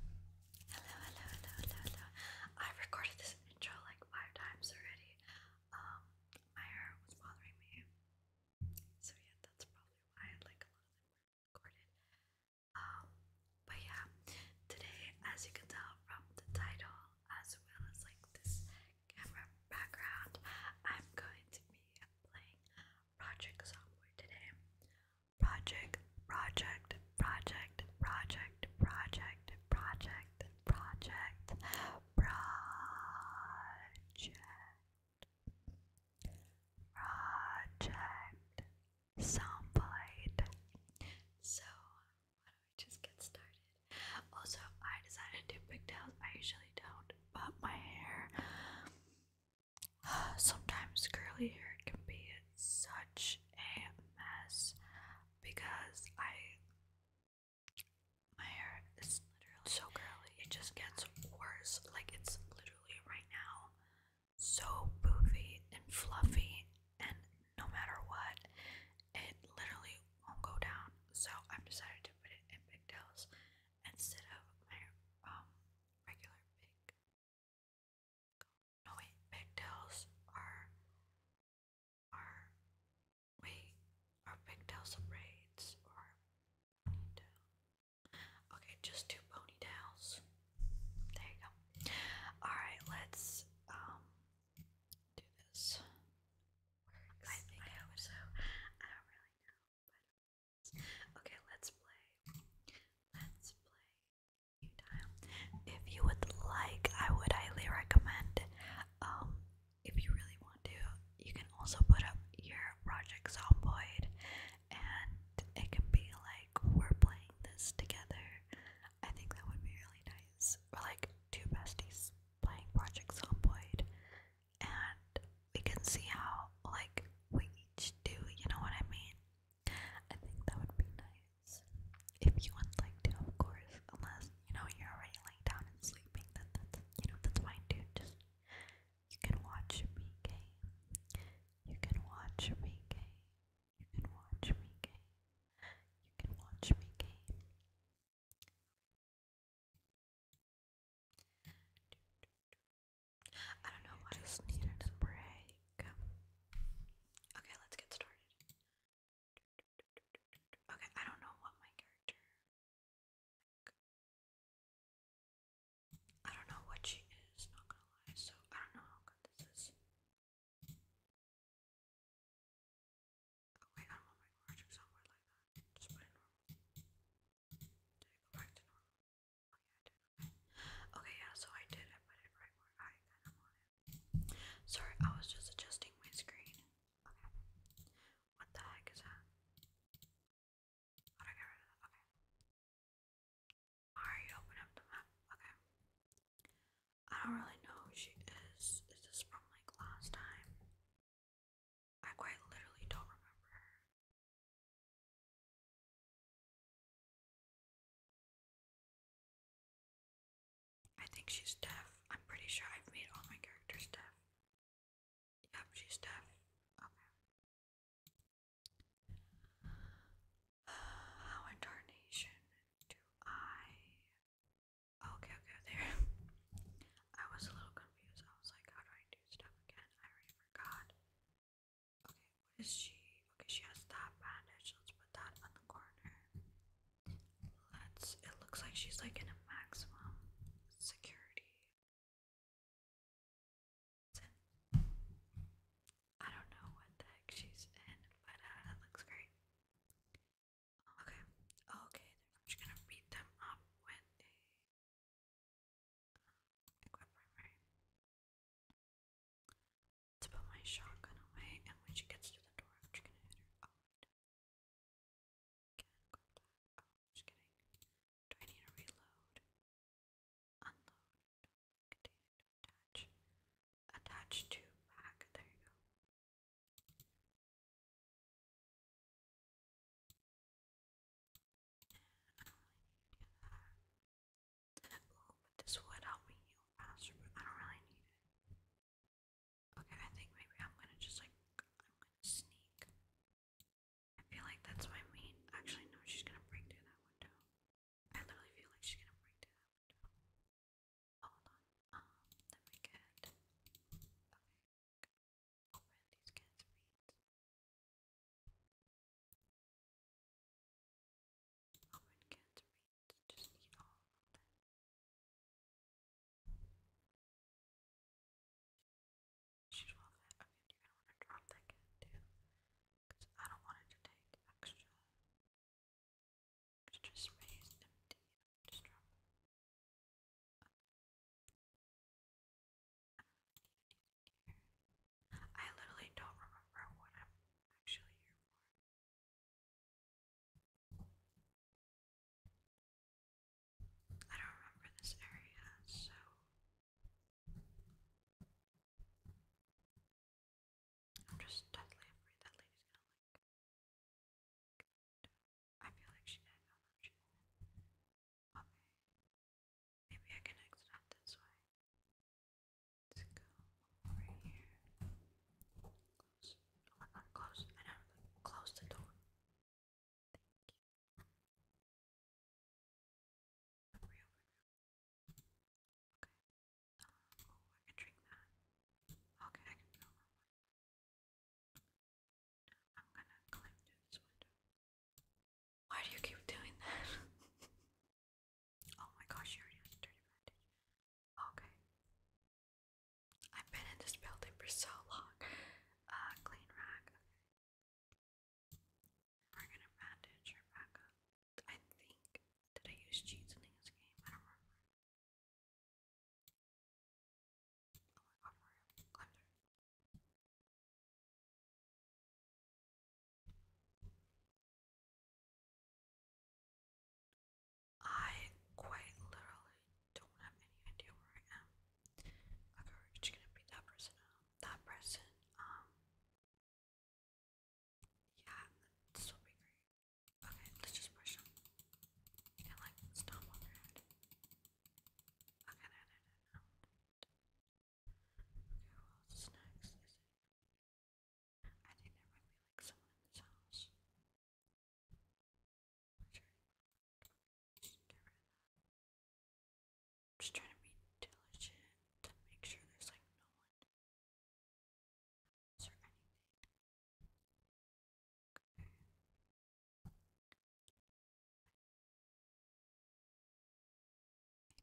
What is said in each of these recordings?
Hello, hello, hello, hello, hello. I recorded this intro like five times already. Um, my hair was bothering me. So yeah, that's probably why like a lot of them were recorded. Um, but yeah, today as you can tell from the title as well as like this camera background, I'm going to be playing Project Software today project, project, project, project, project, project, project, project, project, soundbite. So why don't we just get started? Also, I decided to do pigtails. I usually don't, but my hair Sometimes curly hair can be such a mess because I my hair is literally so curly. It just gets worse. Like it's literally right now so poofy and fluffy and no matter what, it literally won't go down. So I've decided to put it in big tails instead of my um regular big no wait, pigtails are are wait, are pigtails braids or ponytail? Okay, just two ponytails. There you go. Alright, let's um do this. I think so. I don't really know, okay, let's play. Let's play if you would like, I would highly recommend. Um, if you really want to, you can also put up your project Zomboid, and it can be like we're playing this together. I think that would be really nice. We're like two besties playing Project Zomboid, and we can see how like we each do. You know what I mean? I think that would be nice. If you would like to, of course, unless, you know, you're already laying down and sleeping, then that's, you know, that's fine too. Just, you can watch me game. You can watch me game. You can watch me game. You can watch me game. I don't know I just needed a break. Okay, let's get started. Okay, I don't know what my character. I don't know what she is, not gonna lie, so I don't know how good this is. Oh wait, I don't want my character somewhere like that. Just put it normal. Did I go back to normal? Okay, oh, I did. Okay, yeah, so I did. I put it right where I kind of want it. Sorry, I was just adjusting my screen. Okay. What the heck is that? How do I get rid of that? Okay. Alright, open up the map. Okay. I don't really know who she is. Is this from like last time? I quite literally don't remember her. I think she's deaf. I'm pretty sure I've made all my characters deaf. Yep, she's deaf. Okay. how in do I. Okay, okay, there. I was a little confused. I was like, how do I do stuff again? I already forgot. Okay, what is she? Okay, she has that bandage. Let's put that on the corner. Let's. It looks like she's like in a maximum security. I don't know what the heck she's in, but uh, looks great. Okay, okay, I'm just gonna beat them up with Equip To put my shotgun away, and when she gets to the door, I'm just oh, oh, kidding. Do I need to reload? Unload. attach. Attach to There you go. Ooh, but this would help me heal faster, but I don't really need it. Okay, I think maybe I'm gonna just like I'm gonna sneak. I feel like that's my main actually no, she's gonna break through that window. I literally feel like she's gonna break through that Hold on. Um, let me get okay. Open these cans of Oh, and can't read. Just eat all of them. She's well fit. Okay, you want to drop that too, because I don't want it to take extra, extra space empty. Just drop I literally don't remember what I'm actually here for. I don't remember this area, so. I'm just deadly afraid that lady's gonna like. I feel like she did Maybe I can exit out this way. let go over here. Close. Oh, close. I close the door. Thank you. Okay. oh, I can drink that. Okay, I can go. I'm gonna climb through this window. Why do you keep doing that? oh my gosh, you already have a dirty bandage. Okay. I've been in this building for so long. Uh, clean rack. Okay. We're gonna bandage her back I think. Did I use cheats in this game? I don't remember. Oh my god, Mario. Climb through. I quite literally don't have any idea where I am. Like, are just gonna be that person? Um, that person? Um, yeah, this will be great. Okay, let's just push them and like stomp on their head. Okay, no, no, no. Who else next? I think there might be like someone in this house. just trying to be diligent to make sure there's like no one.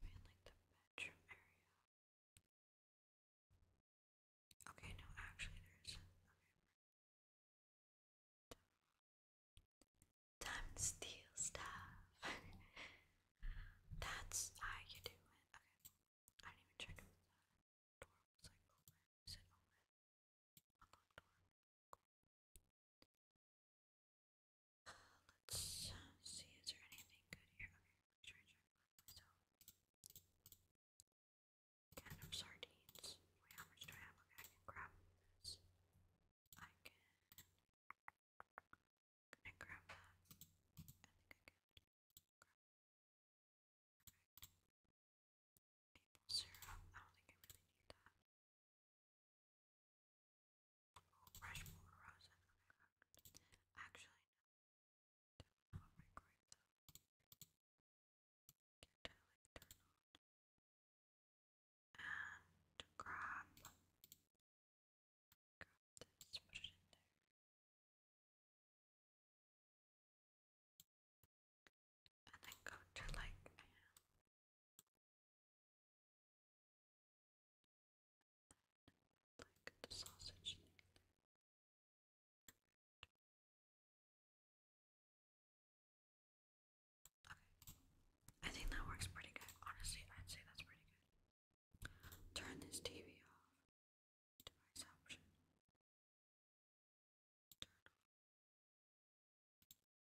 Maybe like the bedroom area. Okay, no, actually there Time to steal stuff. That's how you do it. Okay. I didn't even check Let's see, is there anything good here? Okay, let me of sardines. Wait, how much do I have? Okay, I can grab this. I can. I grab that? I think I can. Grab. Okay. Maple syrup. I don't think I really need that. Fresh more roses. Actually, no. Don't microwave them. Get totally turn on. And grab. Grab this, put it in there. And then go to like, um, I think that works pretty good. Honestly, I'd say that's pretty good. Turn this TV off. Device option.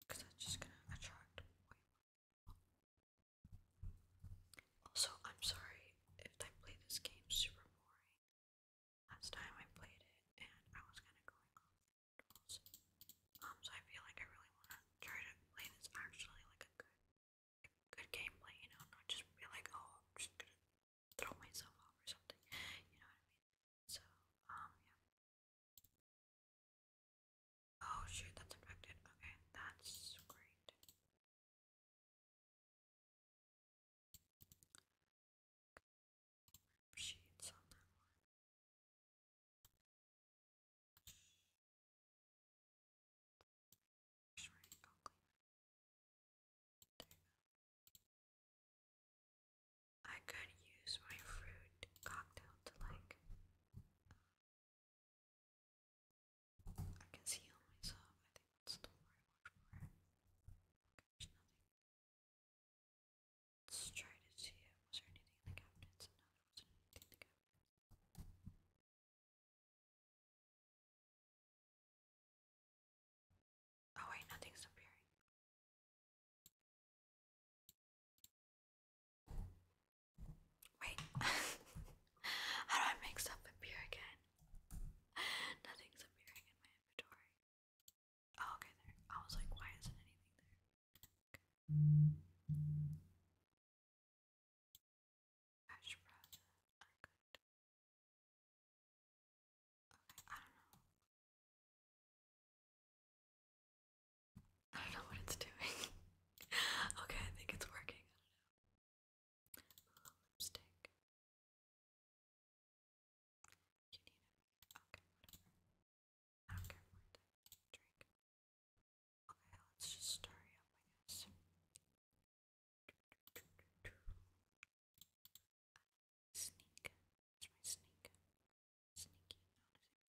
Because that's just gonna attract way more also, I'm sorry if I play this game super boring. Last time I played it and I was kinda going off Um so I feel like I really wanna try to play this actually like a good good gameplay, you know, not just be like, oh I'm just gonna throw myself off or something. You know what I mean? So, um yeah. Oh shoot, that's infected. Okay, that's great. Sheets on that one. I could use my fruit cocktail to like I can see on myself. I think that's the word Let's try to see Was there anything in the cabinets? No, there wasn't anything in the cabinets. Oh wait, nothing's appearing. Wait, how do I make stuff appear again? Nothing's appearing in my inventory. Oh, okay, there. I was like, why isn't anything there? I don't know. I don't know what it's doing. okay, I think it's working. I don't know. Oh, lipstick. You need it. Okay, I don't care for it. Drink. Okay, let's just stir up, I guess. Sneak. It's my sneak. Sneaky. How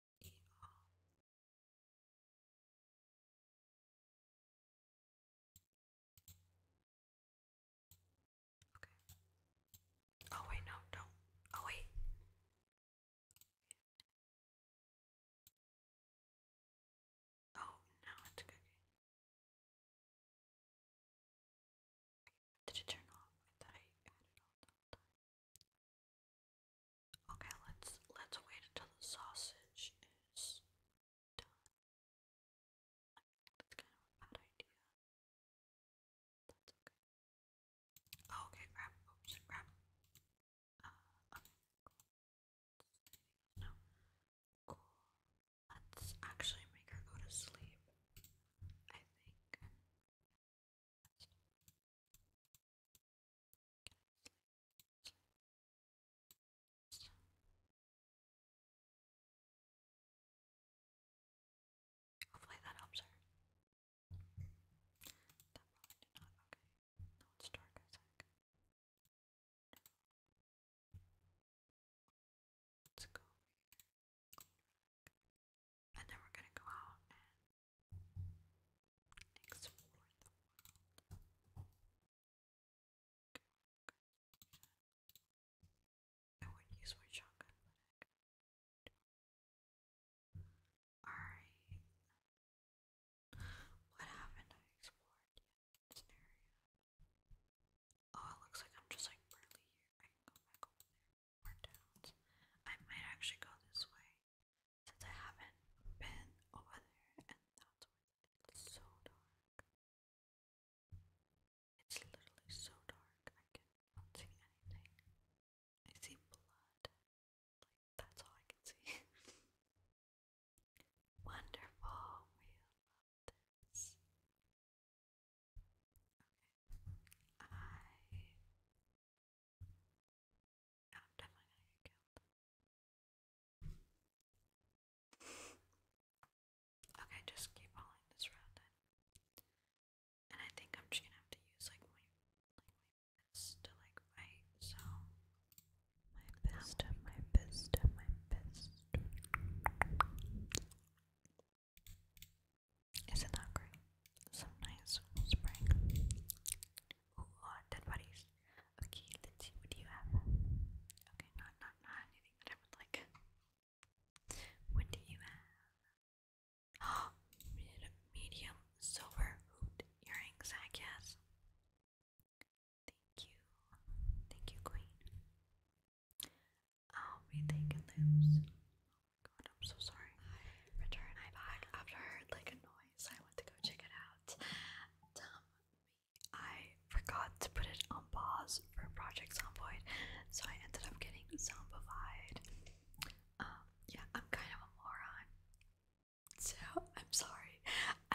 Okay. Oh wait, no, don't. Oh wait. Oh no, it's okay. Did you turn off? I thought I had it all done. Okay, let's let's wait until the sausage is done. That's kind of a bad idea. That's okay. okay, grab. Oops, grab. Uh, no. Cool. Let's actually make her go to sleep. I think. Hopefully that helps her. That probably did not. Okay. No, it's dark as heck. Let's go over here. And then we're gonna go out and I would use my shotgun, Alright. What happened? I explored this area. Oh, it looks like I'm just like barely here. I can go back over there. I might actually go this way since I haven't been over there, and that's where it's so dark. It's literally so dark, I cannot see anything. I see blood. that's all I can see. Wonderful. I no, i Okay, just keep following this route then. And I think I'm just gonna have to use like my like my fist to like fight, so my fist, my fist, my fist. Isn't that great? Some nice spring. Who oh, dead bodies? Okay, Lindsay, what do you have? Okay, not not not anything that I would like. What do you have? Oh, medium silver hoot earrings, I guess. Thank you. Thank you, Queen. I'll be taking those. Oh my god, I'm so sorry. I returned my bag after like a noise anyways, I went to go check it out. Um, I forgot to put it on pause for Project Zomboid, so I ended up getting zombified. Um, yeah, I'm kind of a moron. So, I'm sorry.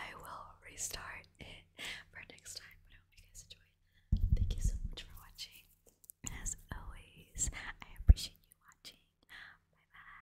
I will restart it for next time, but I hope you guys enjoyed. Thank you so much for watching. as always, I appreciate you watching. Bye bye.